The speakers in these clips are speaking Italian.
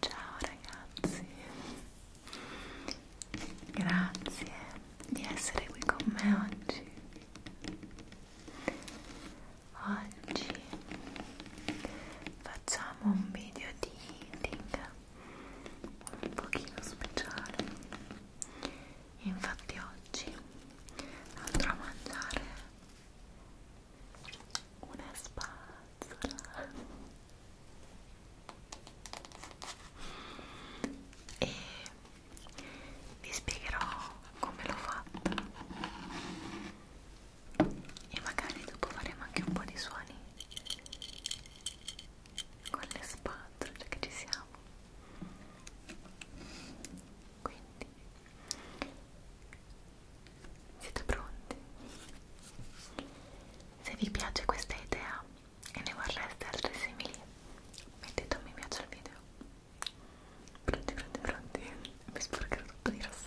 Ciao ragazzi, grazie di essere qui con me oggi. Oggi facciamo un video di eating un pochino speciale. Infatti oggi andrò a mangiare una spazzola e vi spiegherò come l'ho fatta e magari dopo faremo anche un po' di suoni con le spazzole che ci siamo quindi siete pronti? se vi piace questa idea e ne vorreste altre simili mettete un mi piace al video pronti pronti pronti mi sporcherò tutto di rossetto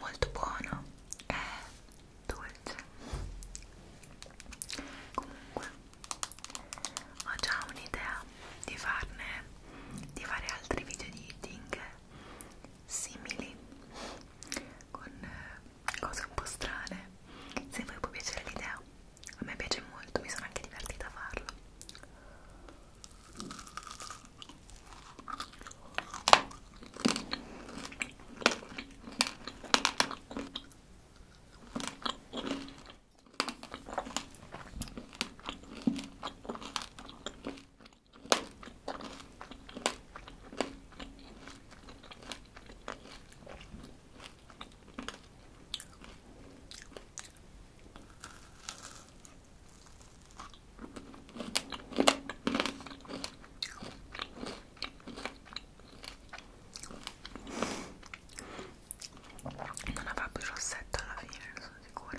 molto buono e dolce comunque ho già un'idea di farne di fare altri video di eating simili con eh, cose un po' strane se a voi può piacere l'idea a me piace molto, mi sono anche divertita a farlo non avrà più rossetto alla fine, ne sono sicura.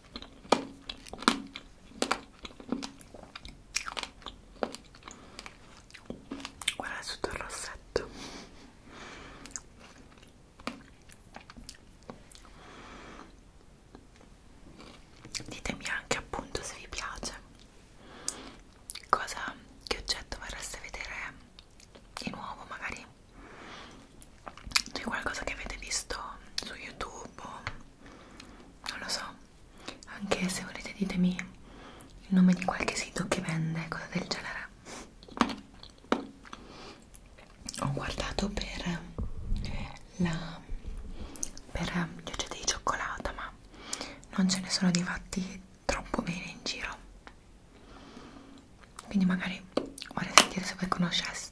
guarda sotto il rossetto ditemi anche appunto se vi piace cosa che oggetto vorreste vedere di nuovo magari di qualcosa che avete visto su youtube o non lo so anche se volete ditemi il nome di qualche sito che vende cose del genere ho guardato per la per gli oggetti di cioccolata ma non ce ne sono di fatti troppo bene in giro quindi magari vorrei sentire se voi conosceste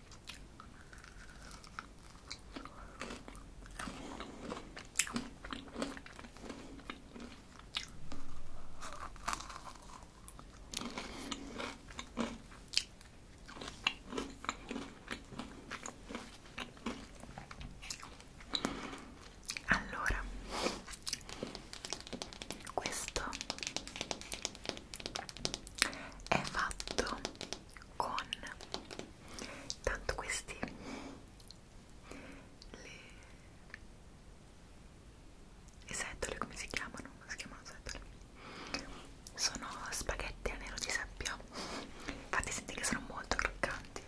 Allora, questo è fatto con tanto questi le, le setole come si chiamano? si chiamano setole sono spaghetti a nero di sabbia infatti senti che sono molto croccanti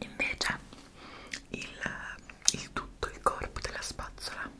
invece il, il tutto il corpo della spazzola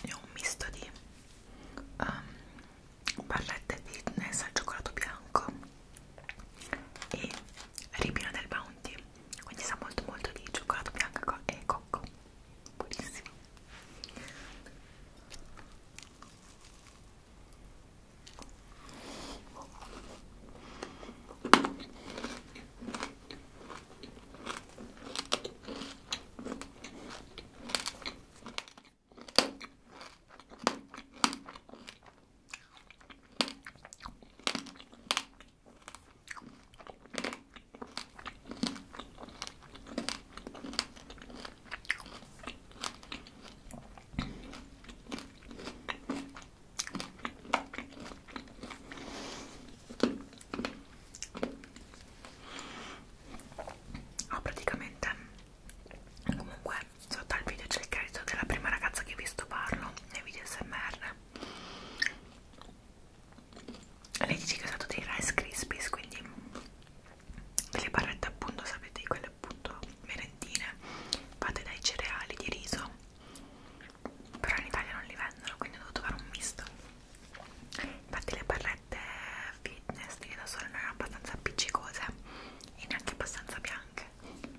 è un misto di um, ehm, pallette fitness al cioccolato bianco e ribino del bounty quindi sa molto molto di cioccolato bianco e cocco buonissimo ho ah, praticamente comunque sotto al video c'è il credito della prima ragazza che vi sto parlo nei video smr lei dice che è stato dei rice crispies quindi delle barrette appunto sapete quelle appunto merendine fatte dai cereali di riso però in Italia non li vendono quindi ho dovuto fare un misto infatti le barrette fitness di da sole non erano abbastanza appiccicose e neanche abbastanza bianche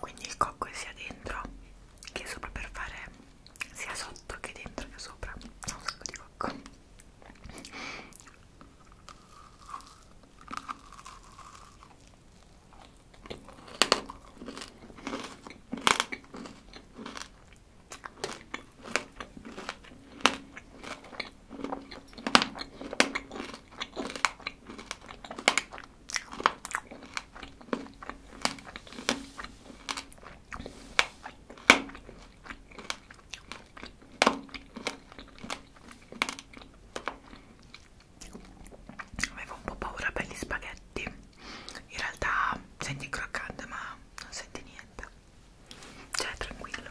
quindi il cocco è sia dentro che sopra per fare sia sotto che dentro che sopra ho un sacco di cocco Avevo un po' paura per gli spaghetti. In realtà senti croccante, ma non senti niente. Cioè, tranquillo.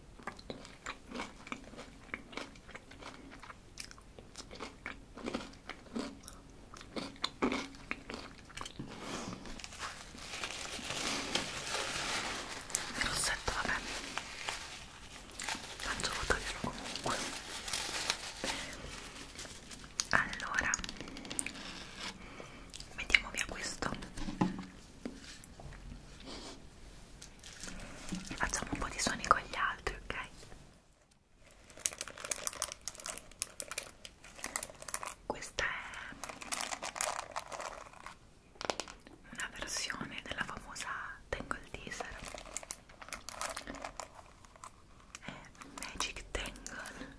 il rossetto vabbè faccio tagliarlo comunque allora mettiamo via questo Facciamo un po' di suoni con gli altri, ok? Questa è una versione della famosa Tangle Teaser è Magic Tangle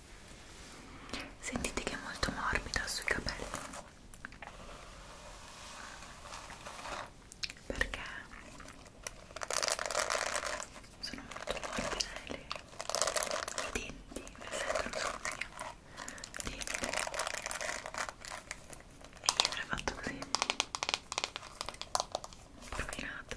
Sentite che è molto morbida sui capelli perché sono molto morbide le, i denti, mi sentono tutti i denti e io avrei fatto così rovinato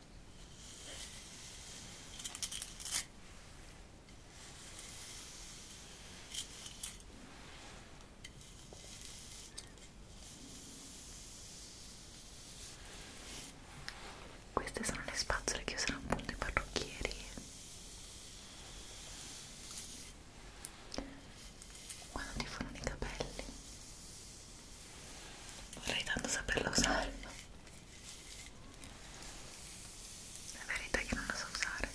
Queste sono le spazzole che usano appunto i parrucchieri. Quando ti fanno i capelli. Vorrei tanto saperla usare. La verità è che non la so usare.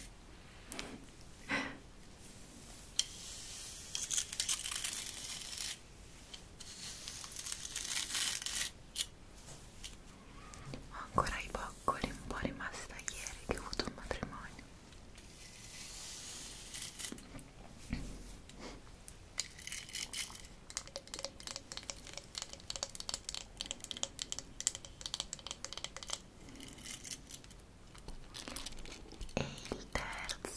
Ho ancora i boccoli un po' rimasti da ieri che ho avuto un matrimonio e il terzo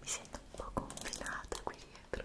Mi sento un po' confinata qui dietro.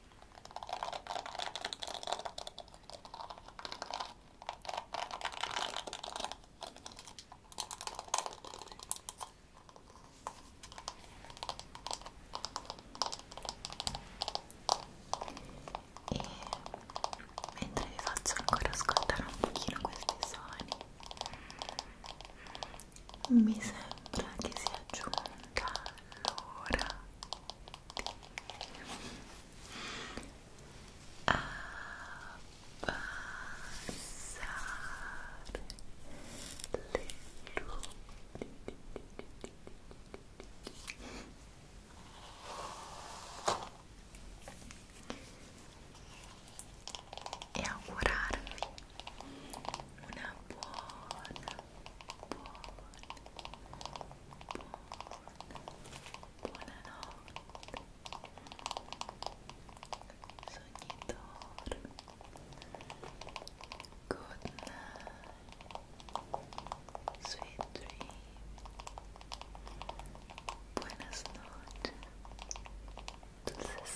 e mentre vi faccio ancora ascoltare un pochino questi suoni mi sembra che sia giunta l'ora a passar lento e augurarvi una Buon, Good night. Sweet dream. Buenas noches. Dulces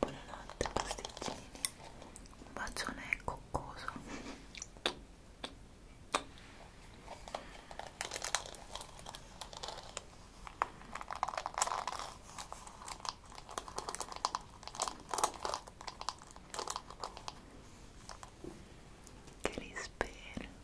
Buonanotte pasticcini, un bacione coccoso. Che li spero.